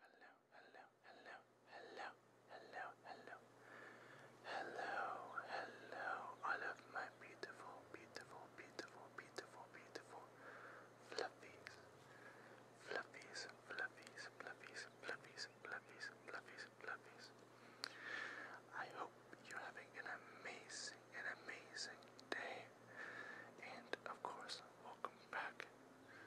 hello, hello, hello, hello, hello, hello, hello, hello, all of my beautiful, beautiful, beautiful, beautiful, beautiful fluffies, fluffies, fluffies, fluffies, fluffies, fluffies, fluffies, fluffies. I hope you're having an amazing, an amazing day, and of course, welcome back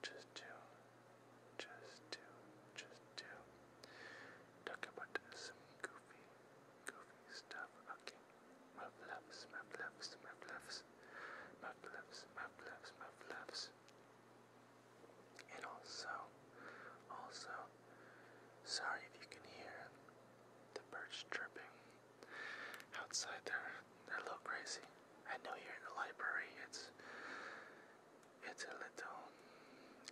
just do, just do, just do. Talk about some goofy, goofy stuff. Okay, muff loves, muff loves, muff loves, muff loves, muff loves, muff loves. And also, also, sorry if you can hear the birds chirping outside there, they're a little crazy. I know you're in the library it's it's a little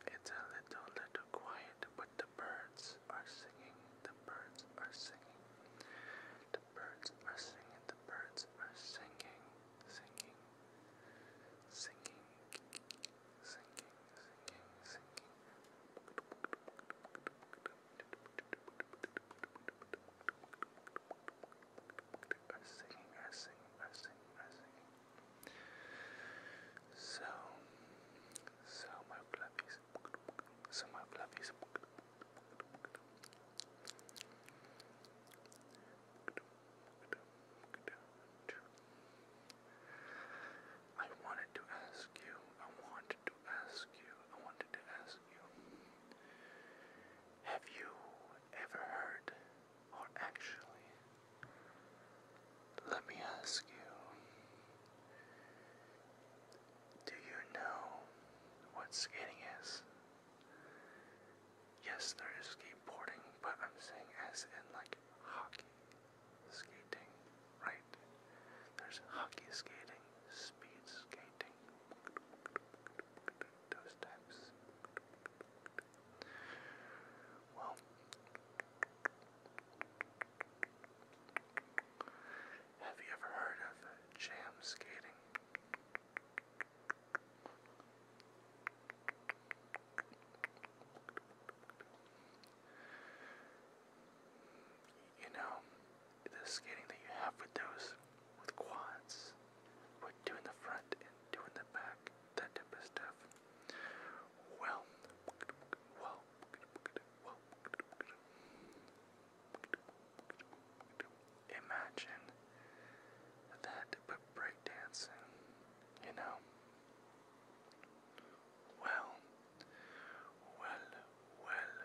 it's a little little quiet, but the birds are singing. The birds are singing. The birds are singing. The birds are singing. Singing. Singing. Singing. Singing. Singing are singing, are singing, are singing, are singing. So, so my fluffies, so my fluffies. I wanted to ask you, I wanted to ask you, I wanted to ask have you ever heard, or actually, let me ask you, do you know what skating is? Yes, there is skateboarding, but I'm saying as in like hockey skating, right? There's hockey skating, speed skating painting. Those types. Well, have you ever heard of jam skating? You know, the skating that you have with those with quads, with doing the front and doing the back, that type of stuff. Well, well, well, imagine that, but breakdancing, you know. Well, well, well,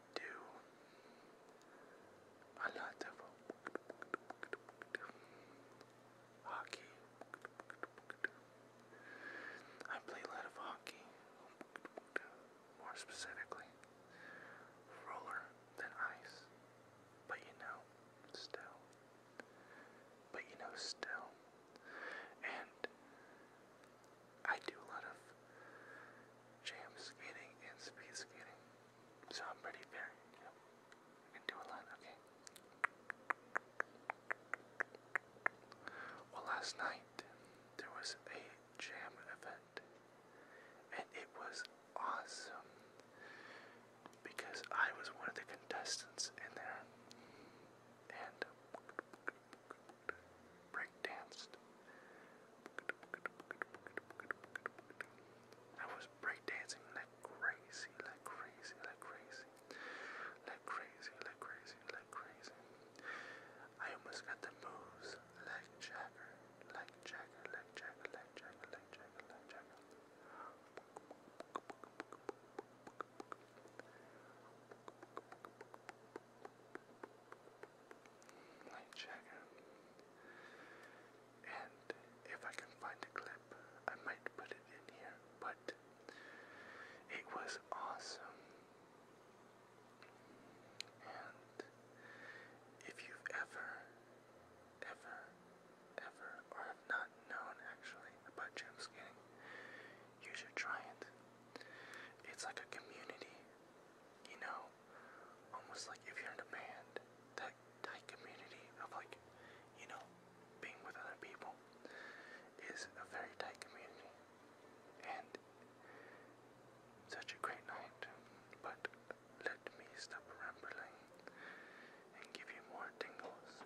do a lot of hockey. I play a lot of hockey, more specifically, roller than ice. But you know, still. But you know, still. And I do a lot of jam skating and speed skating. So I'm pretty very, I can do a lot, okay? Well, last night there was a jam event, and it was awesome because I was one of the contestants in there and breakdanced I was breakdancing like crazy, like crazy, like crazy, like crazy, like crazy, like crazy. I almost got the moves like Jagger, like Jagger, like Jagger, like Jagger, like Jagger, like Jagger. Light Jagger. And if I can find a clip, I might put it in here, but it was awesome. And if you've ever, ever, ever, or have not known actually about gym skating, you should try it. It's like a community, you know, almost like if you're in a band, that tight community of like, you know, being with other people is a very tight community. And such a great night. But let me stop rambling and give you more tingles.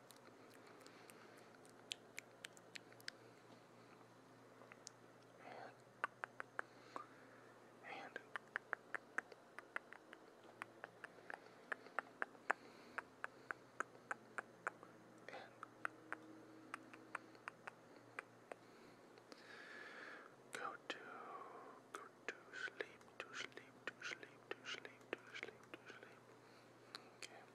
And go to go to sleep, to sleep, to sleep, to sleep, to sleep, to sleep. Okay.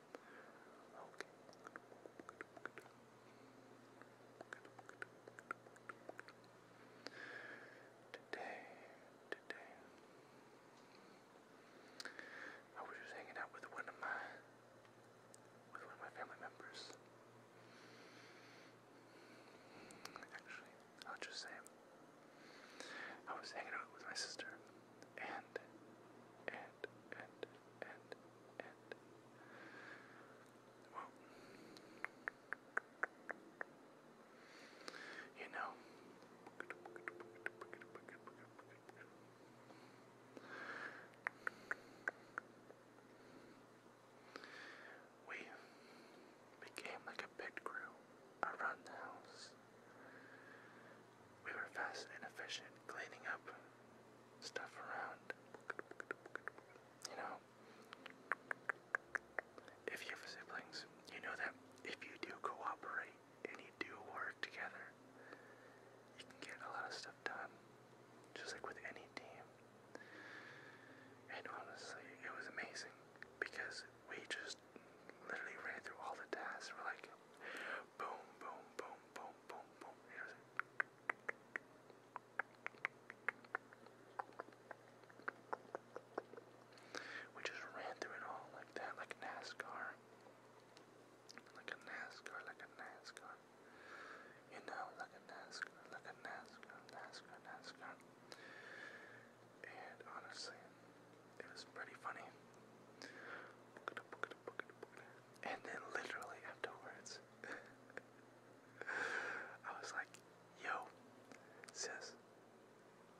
Today, today, I was just hanging out with one of my, with one of my family members. Actually, I'll just say, I was hanging out with my sister and, and, and, and, and. Well, you know, we became like a pit crew around the house. We were fast and efficient cleaning up stuff around. You know, if you have siblings, you know that if you do cooperate and you do work together, you can get a lot of stuff done, just like with any team. And honestly, it was amazing because we just literally ran through all the tasks. We're like, boom, boom, boom, boom, boom, boom. Here's it. We just ran through it all like that, like NASCAR. Like a NASCAR, like a NASCAR. You know, like a NASCAR, like a NASCAR, NASCAR, NASCAR. And honestly, it was pretty funny. And then literally afterwards, I was like, yo, sis,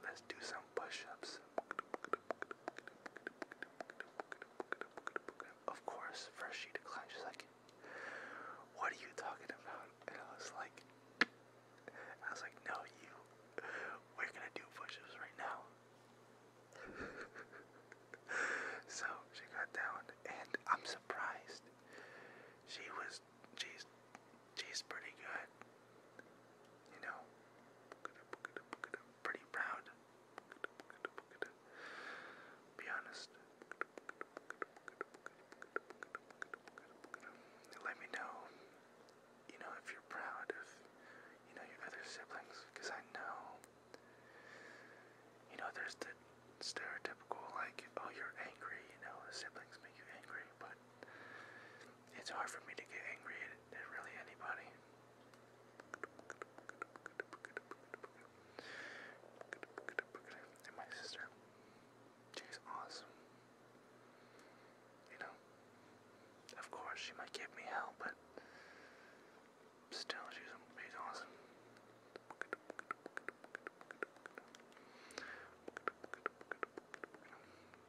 let's do some push ups. Of course, first she declined. She's like, what are you talking about? And I was like, I was like, no, you, we're gonna do push ups right now. so she got down, and I'm surprised. She was, she's, she's pretty good. You know, pretty proud. Be honest. Let me know, you know, if you're proud of, you know, your other siblings, because I know you know, there's the stereotypical, like, oh, you're angry, you know, the siblings make you angry, but it's hard for me to get angry at, at really anybody. And my sister, she's awesome. You know, of course, she might give me hell, but Still, she's, she's awesome.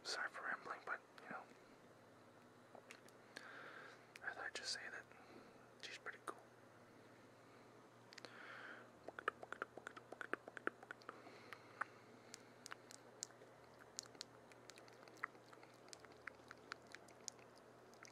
Sorry for rambling, but you know, I thought I'd just say that she's pretty cool.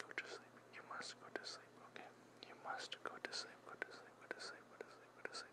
Go to sleep. You must go to sleep, okay? You must go to sleep, go to sleep, go to sleep, go to sleep, go to sleep, go to sleep.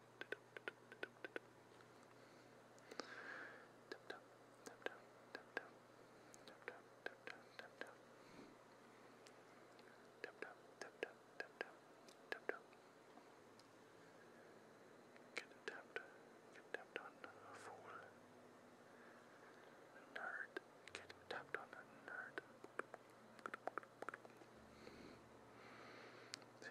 Get tapped, get tapped on a fool. A nerd, get tapped on a nerd. See?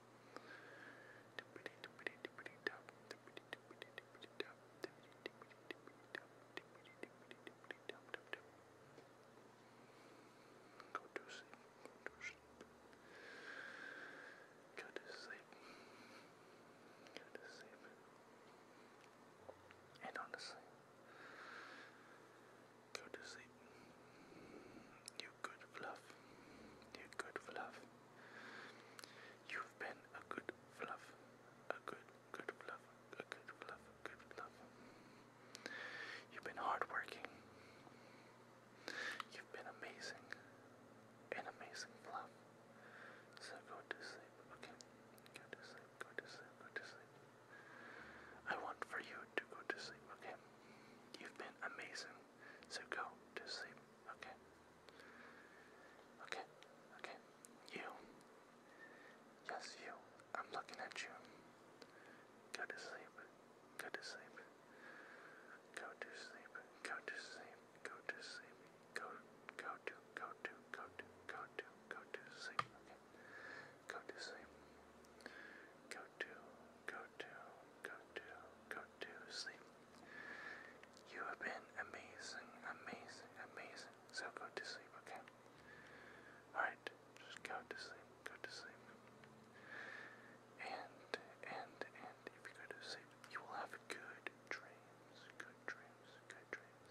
Go to sleep. Go to sleep. Go to sleep. And honestly, go to sleep. You good fluff. You good fluff. You've been a good fluff, a good, good fluff, a good fluff, good fluff. You've been hardworking. You've been amazing, an amazing fluff. So go to sleep, okay? Go to sleep, go to sleep, go to sleep. I want for you to go to sleep, okay? You've been amazing, so go to sleep. Okay. Okay. Okay. You. Yes, you. I'm looking at you. Go to sleep. Go to sleep. Go to sleep. Go to sleep. Go to sleep. Go go to go to go to go to go to sleep. Okay. Go to sleep. Go to go to, go to, go to sleep. You have been amazing, amazing, amazing. So go to sleep, okay? Alright, just go to sleep, go to sleep. And, and, and if you go to sleep, you will have good dreams, good dreams, good dreams.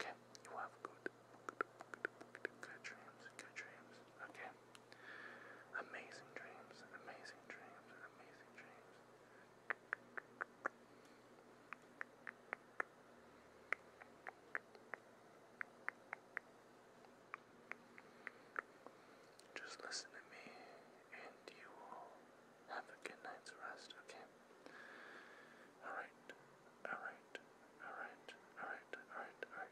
Okay, you will have good, good, good, good, good dreams, good dreams, okay? Amazing dreams, amazing dreams, amazing dreams. Just listen to me and you will have a good night's rest, okay? Alright, alright, alright, alright, alright, alright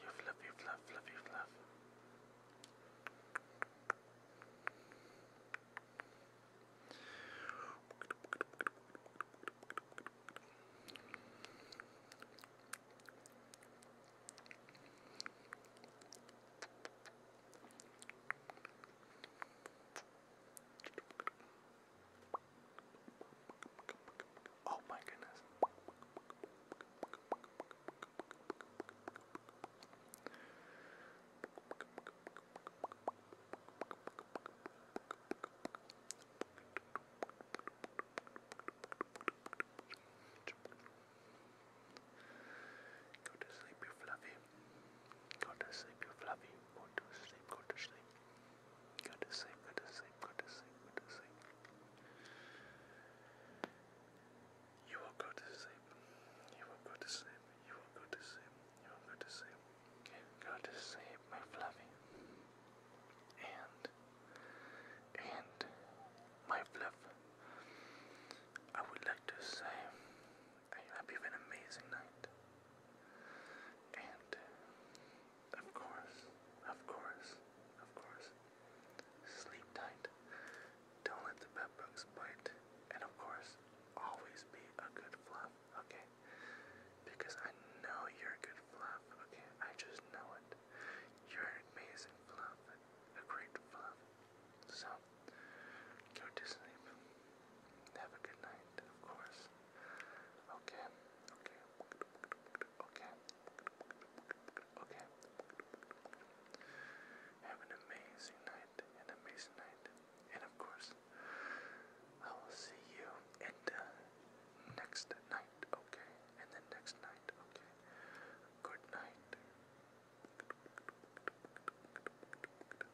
You fluff, you fluff, fluff, you fluff. Oh my goodness. Go to sleep, you fluffy. Go to sleep, you fluffy. Go to sleep, go to sleep. Go to sleep, go to sleep, go to sleep, go to sleep. You will go to sleep. You will go to sleep. You will go to sleep. You will go to sleep. Go to sleep, my fluffy. And and my fluff. I would like to say I you have an amazing night. And of course, of course, of course, sleep tight. Don't let the bed bite. And of course, always be a good fluff, okay? Because I know you're a good fluff, okay? I just know it. You're an amazing fluff, a great fluff. So, go to sleep. Have a good night, of course. Okay, okay, okay, okay. Have an amazing night, an amazing night. And of course, I will see you in the next night, okay? In the next night, okay? Good night.